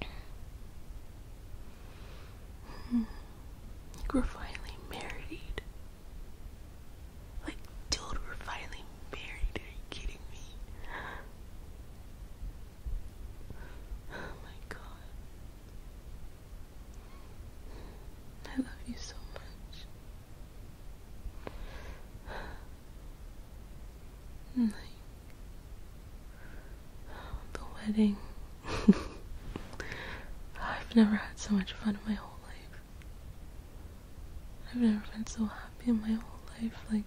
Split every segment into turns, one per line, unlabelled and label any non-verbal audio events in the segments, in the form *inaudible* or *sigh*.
Like hmm. we're finally married. Like, dude, we're finally married. Are you kidding me? Oh my god. I love you so much the wedding. *laughs* I've never had so much fun in my whole life. I've never been so happy in my whole life. Like,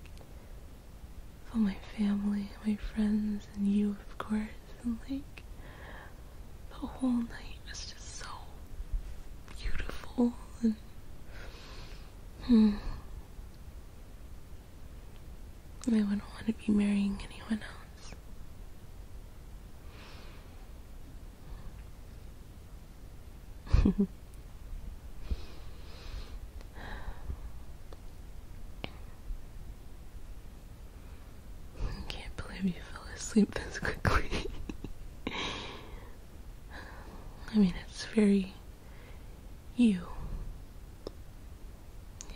for my family, my friends, and you, of course. And, like, the whole night was just so beautiful. hmm, I wouldn't want to be marrying anyone else. *laughs* I can't believe you fell asleep this quickly. *laughs* I mean, it's very you.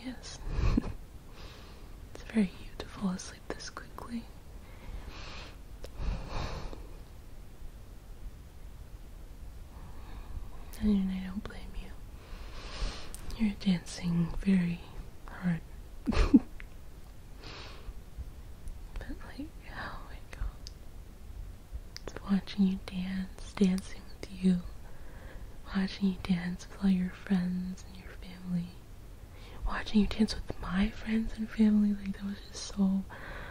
Yes. *laughs* it's very you to fall asleep this quickly. And I don't blame you. You're dancing very hard. *laughs* but like, oh watching you dance, dancing with you, watching you dance with all your friends and your family, watching you dance with my friends and family, like that was just so,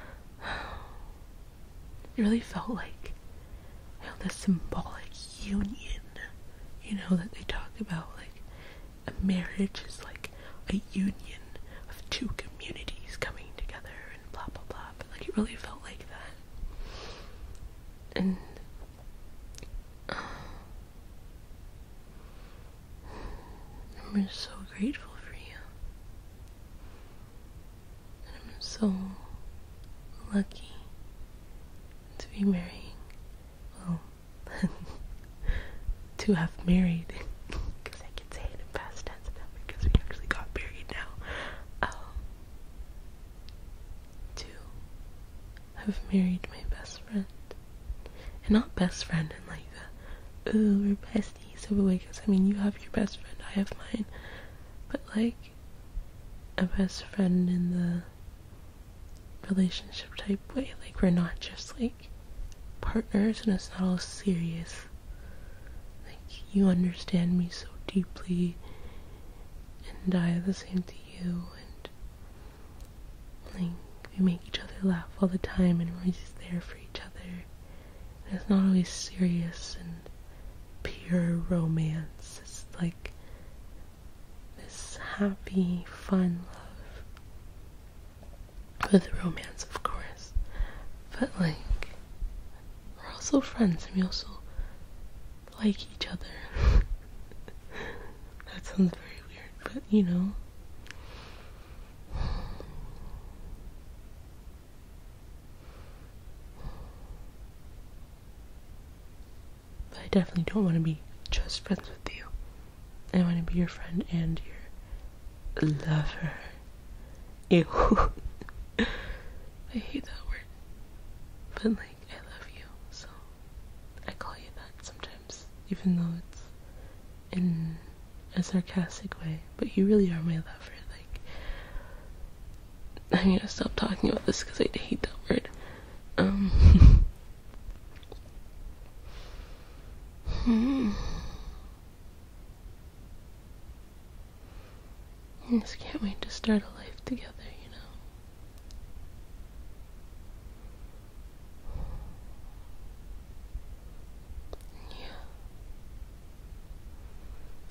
*sighs* it really felt like, you the symbolic union, you know, that they talk about, like, a marriage is like a union of two communities coming together and blah blah blah. Like it really felt like that. And uh, I'm just so grateful for you. And I'm so lucky to be marrying. Well, *laughs* to have married. Because *laughs* I can say it in past stats because we actually got buried now. Um, to have married my best friend. And not best friend in like a, ooh, we're besties so of because I mean, you have your best friend, I have mine. But like, a best friend in the relationship type way. Like, we're not just like partners and it's not all serious like, you understand me so deeply, and I the same to you, and like, we make each other laugh all the time, and we're always there for each other. it's not always serious and pure romance, it's like this happy, fun love with romance, of course. But like, we're also friends and we also like each other. *laughs* that sounds very weird, but you know. But I definitely don't want to be just friends with you. I want to be your friend and your lover. Ew. *laughs* I hate that word. But, like, I love you, so I call you that sometimes, even though it's in a sarcastic way. But you really are my lover. Like, I'm gonna stop talking about this because I hate that word. Um. *laughs* hmm. I just can't wait to start a life together, you know? Yeah.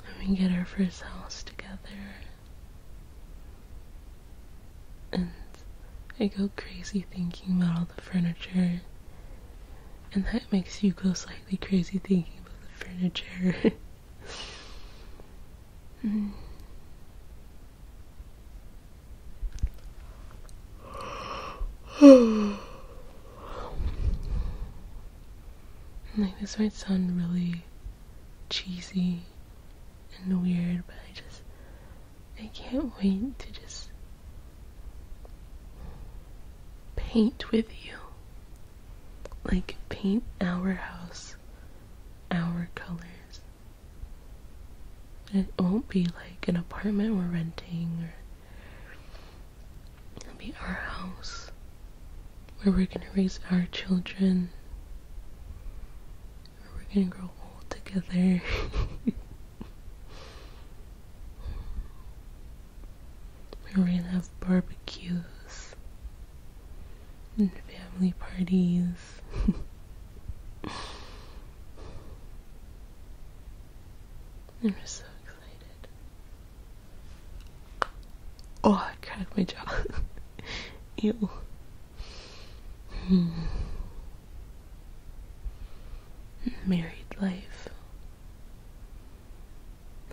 I mean, get our first house together. And I go crazy thinking about all the furniture and that makes you go slightly crazy thinking about the furniture. *laughs* like this might sound really cheesy and weird, but I just I can't wait to just paint with you. Like, paint our house, our colors. It won't be like an apartment we're renting, it'll be our house where we're gonna raise our children, where we're gonna grow old together. *laughs* We are gonna have barbecues and family parties. *laughs* I'm just so excited. Oh, I cracked my jaw. *laughs* Ew. Hmm married life.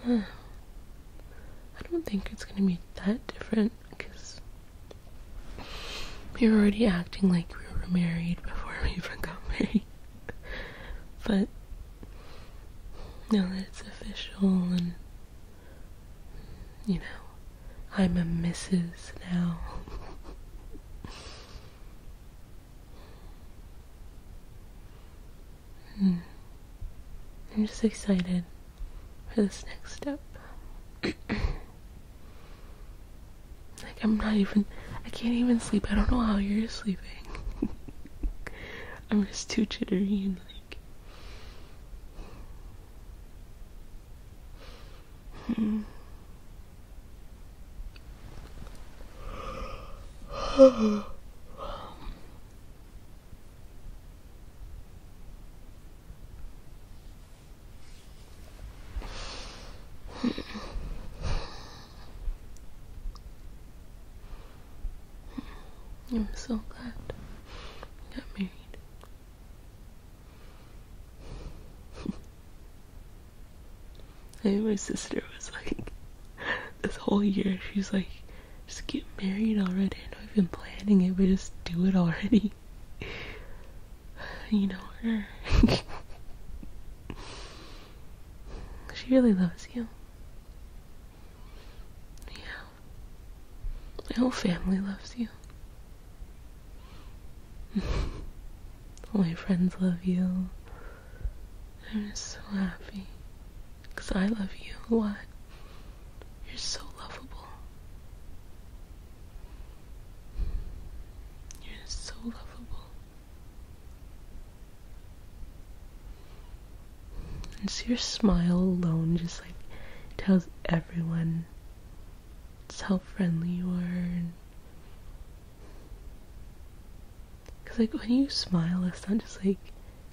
I don't think it's gonna be that different because we we're already acting like we were married before we even got *laughs* married. but now that it's official and you know, I'm a Mrs. now. *laughs* Hmm. I'm just excited for this next step. *clears throat* like, I'm not even, I can't even sleep. I don't know how you're sleeping. *laughs* I'm just too jittery and like. Hmm. I'm so glad I got married. I my sister was like, *laughs* this whole year, she's like, just get married already. I know we have been planning it, but just do it already. *laughs* You know her. *laughs* she really loves you. Yeah. My whole family loves you. All my friends love you. I'm just so happy. Because I love you a lot. You're so lovable. You're so lovable. And so your smile alone just like tells everyone just how friendly you are Cause like when you smile, it's not just like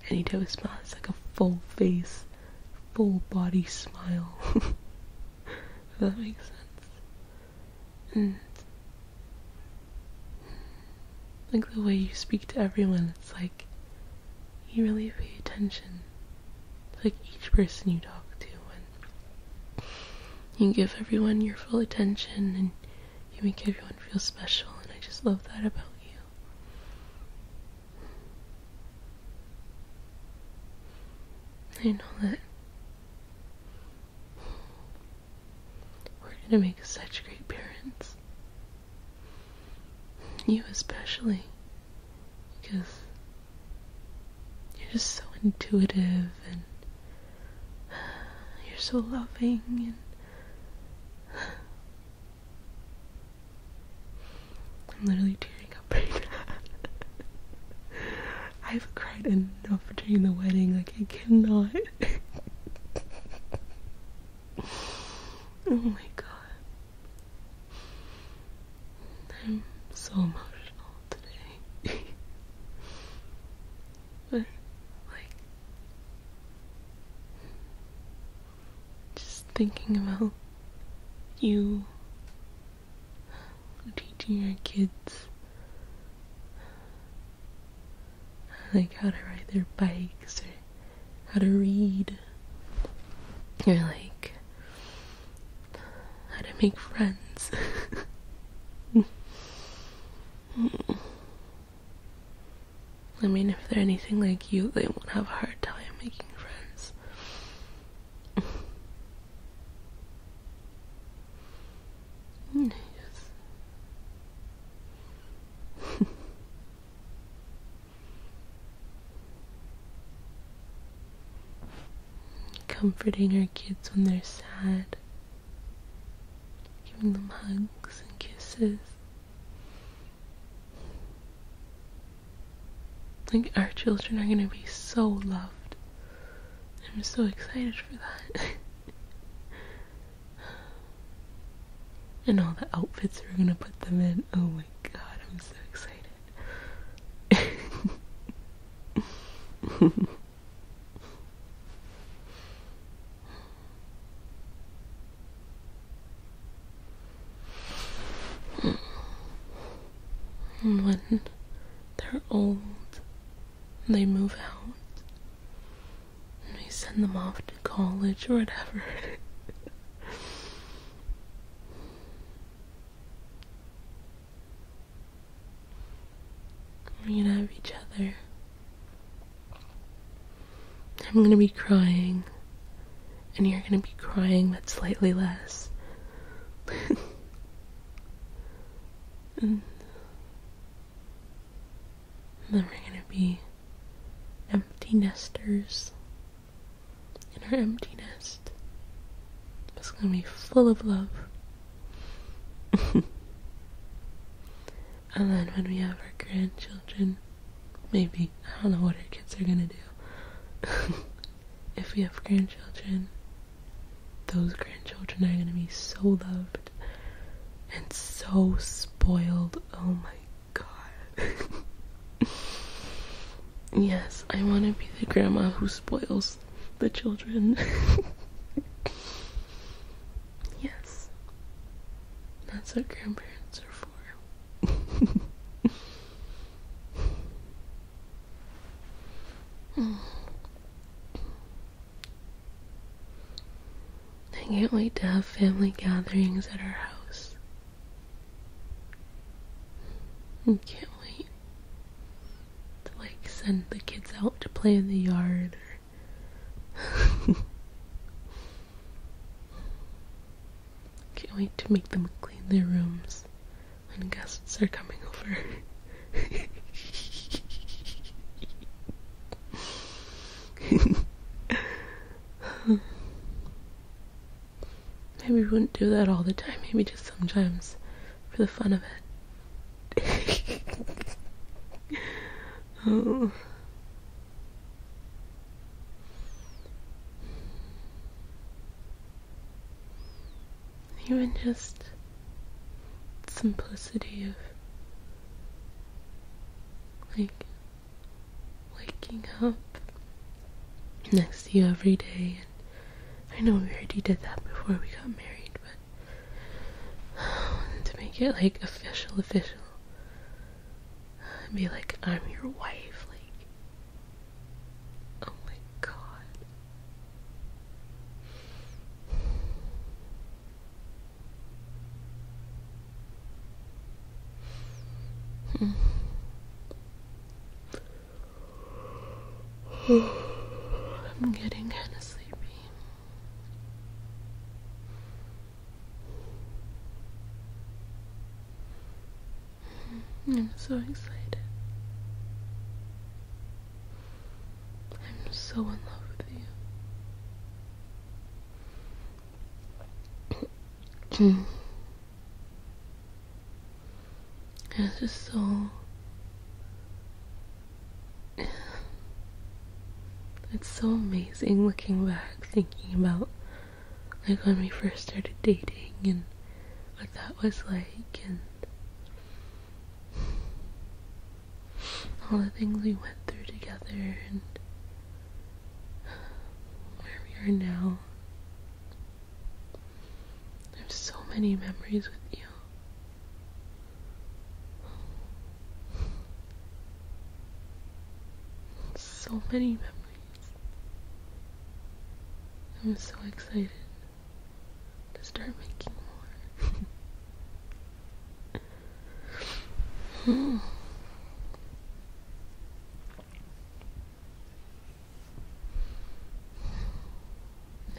any type of smile. It's like a full face, full body smile. *laughs* if that makes sense. And like the way you speak to everyone, it's like you really pay attention to like each person you talk to and you give everyone your full attention and you make everyone feel special, and I just love that about you. I know that we're gonna make such great parents. You especially, because you're just so intuitive and you're so loving and I'm literally tearing up right now. I've cried enough during the wedding, like I cannot. oh my god. I'm so emotional today. but, like, just thinking about you teaching your kids like how to ride their bikes or how to read You're like how to make friends. *laughs* Hmm. I mean, if they're anything like you, they won't have a hard time making friends. *laughs* nice. *laughs* comforting our kids when they're sad, giving them hugs and kisses. Like, our children are gonna be so loved. I'm so excited for that. *laughs* and all the outfits we're gonna put them in. Oh my god, I'm so excited. *laughs* When they're old, they move out. We send them off to college or whatever. *laughs* We're gonna have each other. I'm gonna be crying, and you're gonna be crying, but slightly less. and then we're gonna be empty nesters in our empty nest. It's gonna be full of love. *laughs* and then when we have our grandchildren, maybe, I don't know what our kids are gonna do. *laughs* if we have grandchildren, those grandchildren are gonna be so loved and so spoiled. Oh my god. *laughs* yes, I wanna be the grandma who spoils the children. *laughs* yes. That's what grandparents are for. I *sighs* can't wait to have family gatherings at our house. I hmm, can't wait to like send the kids out to play in the yard or *laughs* Can't wait to make them clean their rooms when guests are coming over. *laughs* Maybe we wouldn't do that all the time, maybe just sometimes for the fun of it. *laughs* oh. Even just simplicity of like waking up next to you every day I know we already did that before we got married, but *sighs* to make it like official, official, and be like, I'm your wife, like, oh my god. *sighs* Hmm. *sighs* I'm getting kind of sleepy. *sighs* I'm so excited. I'm so in love with you. *clears throat* It's just so. It's so amazing looking back, thinking about like when we first started dating and what that was like and all the things we went through together and where we are now. I have so many memories with you. So many memories. I'm so excited to start making more. *laughs* Hmm.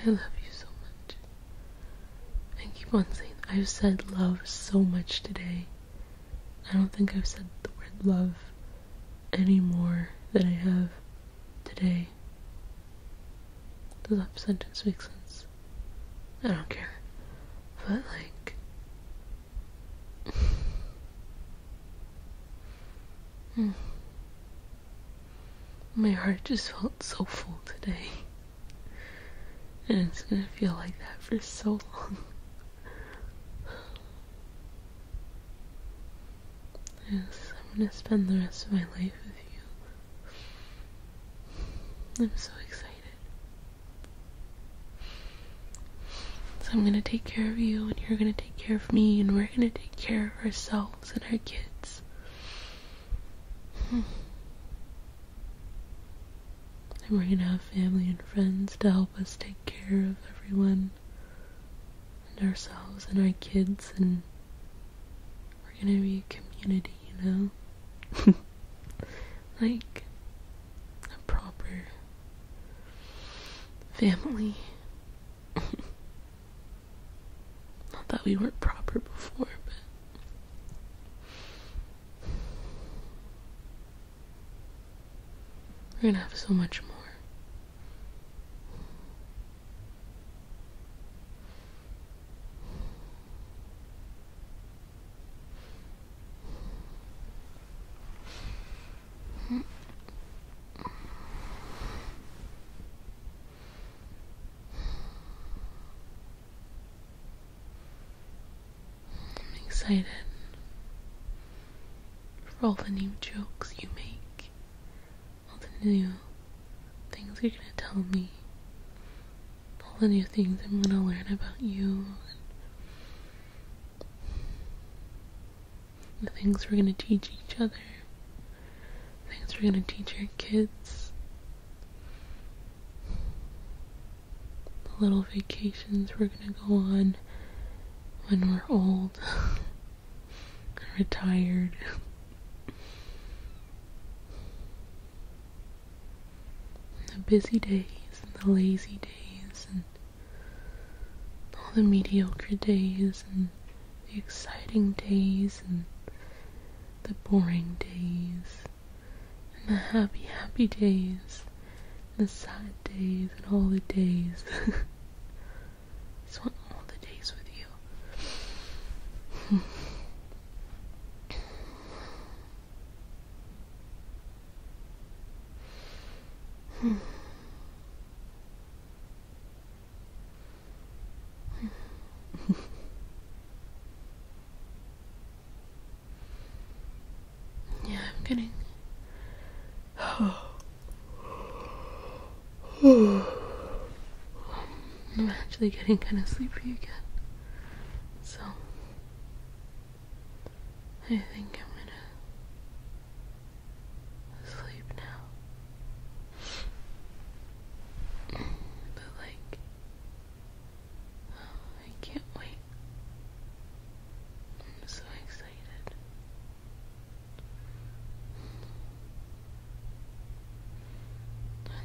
I love you so much. And keep on saying, I've said love so much today. I don't think I've said the word love any more than I have today. Does that sentence make sense. I don't care. But, like, Hmm. My heart just felt so full today. And it's gonna feel like that for so long. yes, I'm gonna spend the rest of my life with you. I'm so excited. I'm gonna take care of you, and you're gonna take care of me, and we're we're gonna take care of ourselves and our kids. Hmm. and we're gonna have family and friends to help us take care of everyone and ourselves and our kids and we're gonna be a community, you know? *laughs* like a proper family *laughs* Not that we weren't proper before, but. We're gonna have so much more. I'm excited for all the new jokes you make, all the new things you're gonna tell me, all the new things I'm gonna learn about you the things we're going to teach each other, the things we're going to teach our kids, the little vacations we're going to go on when we're old, *laughs* retired. *laughs* the busy days and the lazy days and all the mediocre days and the exciting days and the boring days and the happy, happy days and the sad days and all the days. *laughs* I just want all the days with you yeah, I'm getting. *sighs* Oh. I'm actually getting kind of sleepy again. So, I think I'm gonna asleep now. but like I can't wait. I'm so excited.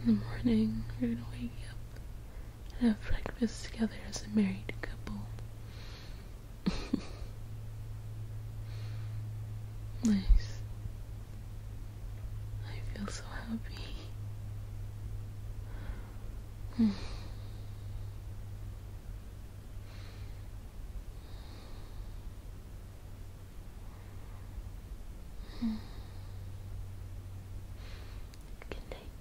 In the morning, we're gonna wake up and have breakfast together as a married couple nice. I feel so happy. Good night.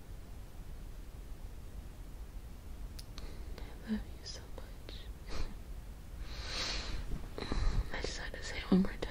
I love you so much. *laughs* I just had to say it one more time.